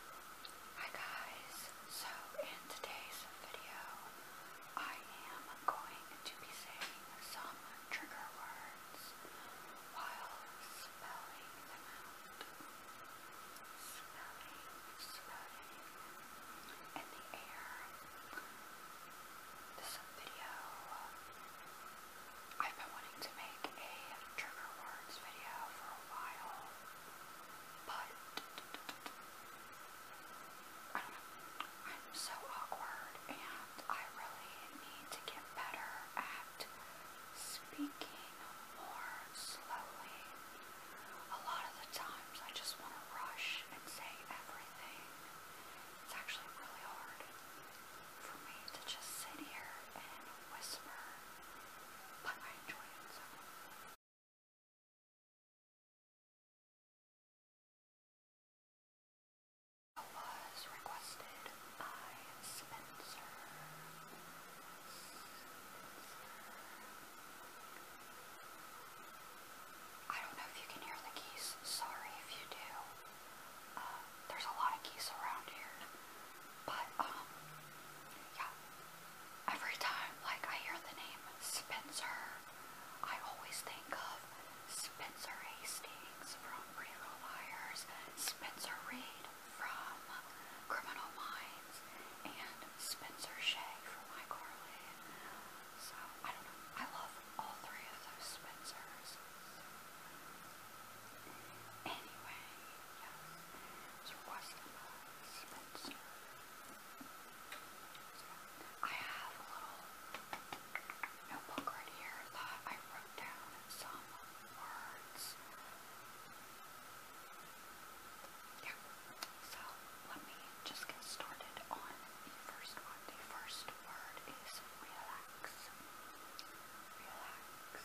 Hi guys, so in today's video I am going to be saying some trigger words while spelling them out. Spelling, spelling in the air. This video I've been wanting to make a trigger words video for a while. But I don't know. I'm so awkward and I really need to get better at speaking more slowly. A lot of the times I just want to rush and say everything. It's actually really hard for me to just sit here and whisper, but I enjoy it I was requested by Spencer. I don't know if you can hear the geese. Sorry if you do. Uh, there's a lot of geese around here. But, um, yeah every time like I hear the name Spencer, I always think of Spencer Hastings from Pretty Little Liars, Spencer Reed from Criminal Minds, and Spencer Shea from iCarly. So I don't know. I love all three of those Spencers. Anyway, Yes. So Weston Spencer. So I have a little notebook right here that I wrote down some words. Yeah. So let me just get started on the first one. The first word is relax. Relax.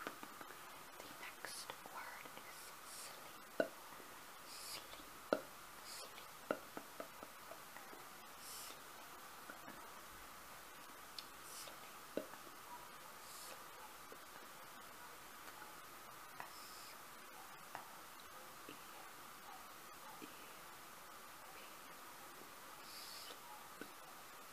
The next word is sleep. Sleep. Sleep. Sleep. Sleep. S -L -E -E -P.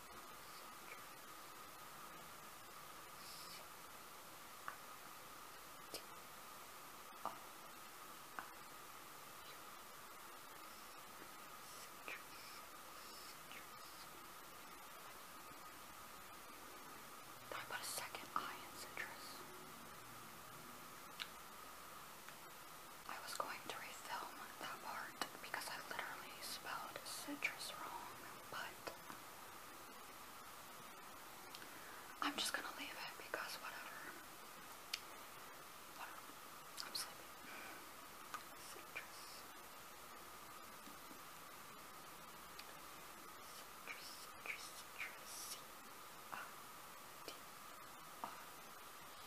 I put a second eye in citrus. I was going to refilm that part because I literally spelled citrus wrong, but I'm just gonna leave it because whatever. I'm sleepy. Citrus. Citrus, citrus, citrus. C R T R U S.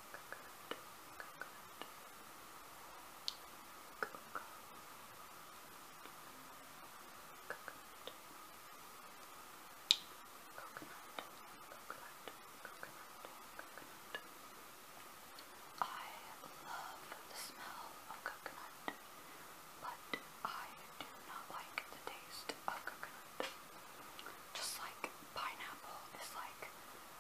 coconut, coconut, coconut, coconut, coconut, coconut, coconut. I love the smell of coconut, but I do not like the taste of coconut. Just like pineapple is like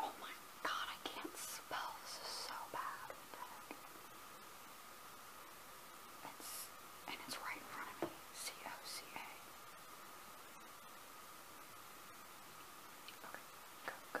Oh my god, I can't spell. This is so bad. It's, and it's right in front of me. C-O-C-A. Okay, go, go.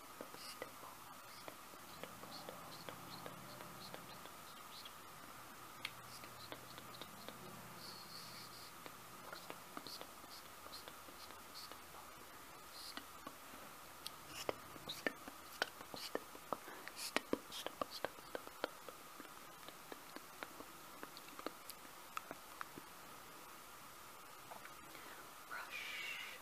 Rush,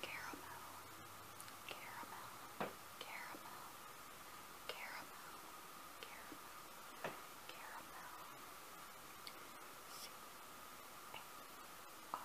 Caramel, caramel, caramel, caramel, caramel, caramel. C A R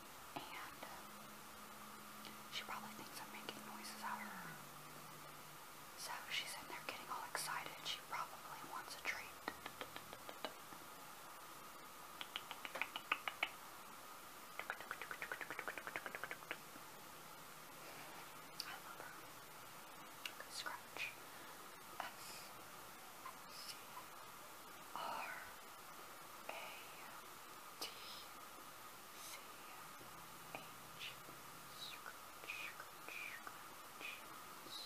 she probably thinks I'm making noises at her. So she's in there getting all excited. She probably wants a treat. I love her. Scratch. S C R a T C H Scrunch Scrunch Scrunch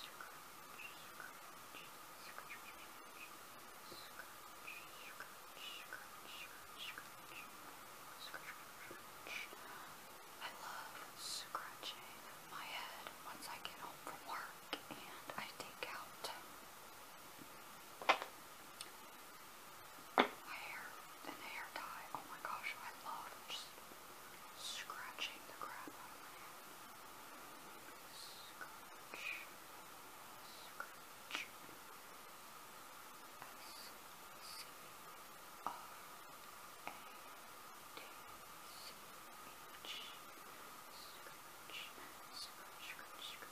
Scrunch Scrunch Scrunch I love scratching my head once I get home from work and I take out hair and hair dye. Oh my gosh, I love just scratching the crap out of my hair. Scratch, scratch, S C R A D C H, scratch, scratch, scratch, scratch.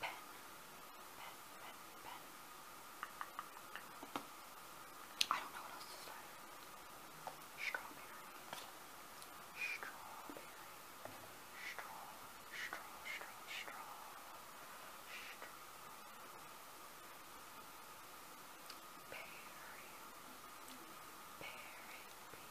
pen, pen, pen, pen. I don't know what else to say. Strawberry, strawberry, straw, straw, straw, straw, straw. Berry, berry, berry.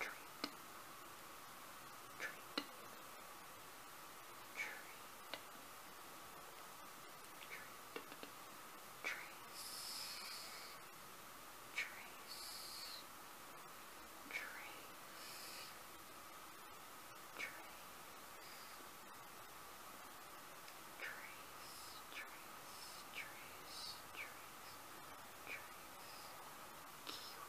treat, treat, treat, treat, trace, trace, trace, trace. Trace, trace, trace, trace, trace, kiwi,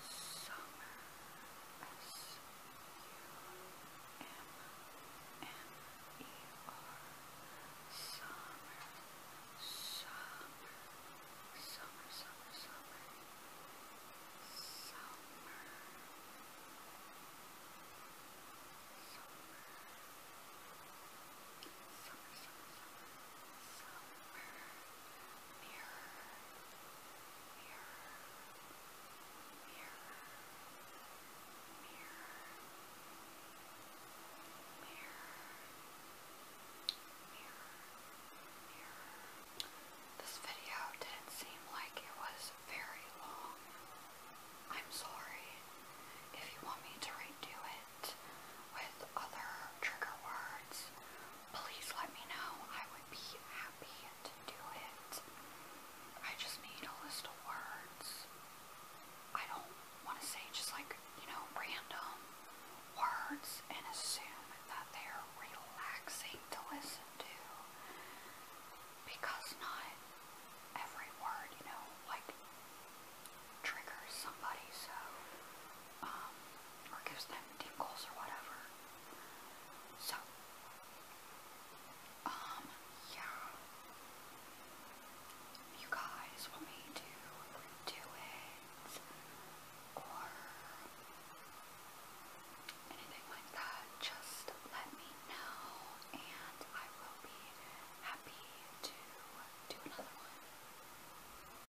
Summer S U M M E R Summer Summer Summer Summer Summer Summer Summer Summer, summer, summer, summer, this video didn't seem like it was very long. I'm sorry. If you want me to redo it with other trigger words please let me know. I would be happy to do it. I just need a list of words. I don't want to say just like, you know, random words and assume that they're relaxing to listen to because not every word, you know, like triggers somebody. So um, or gives them tingles or whatever. So, um, yeah. You guys want me to do it or anything like that, just let me know and I will be happy to do another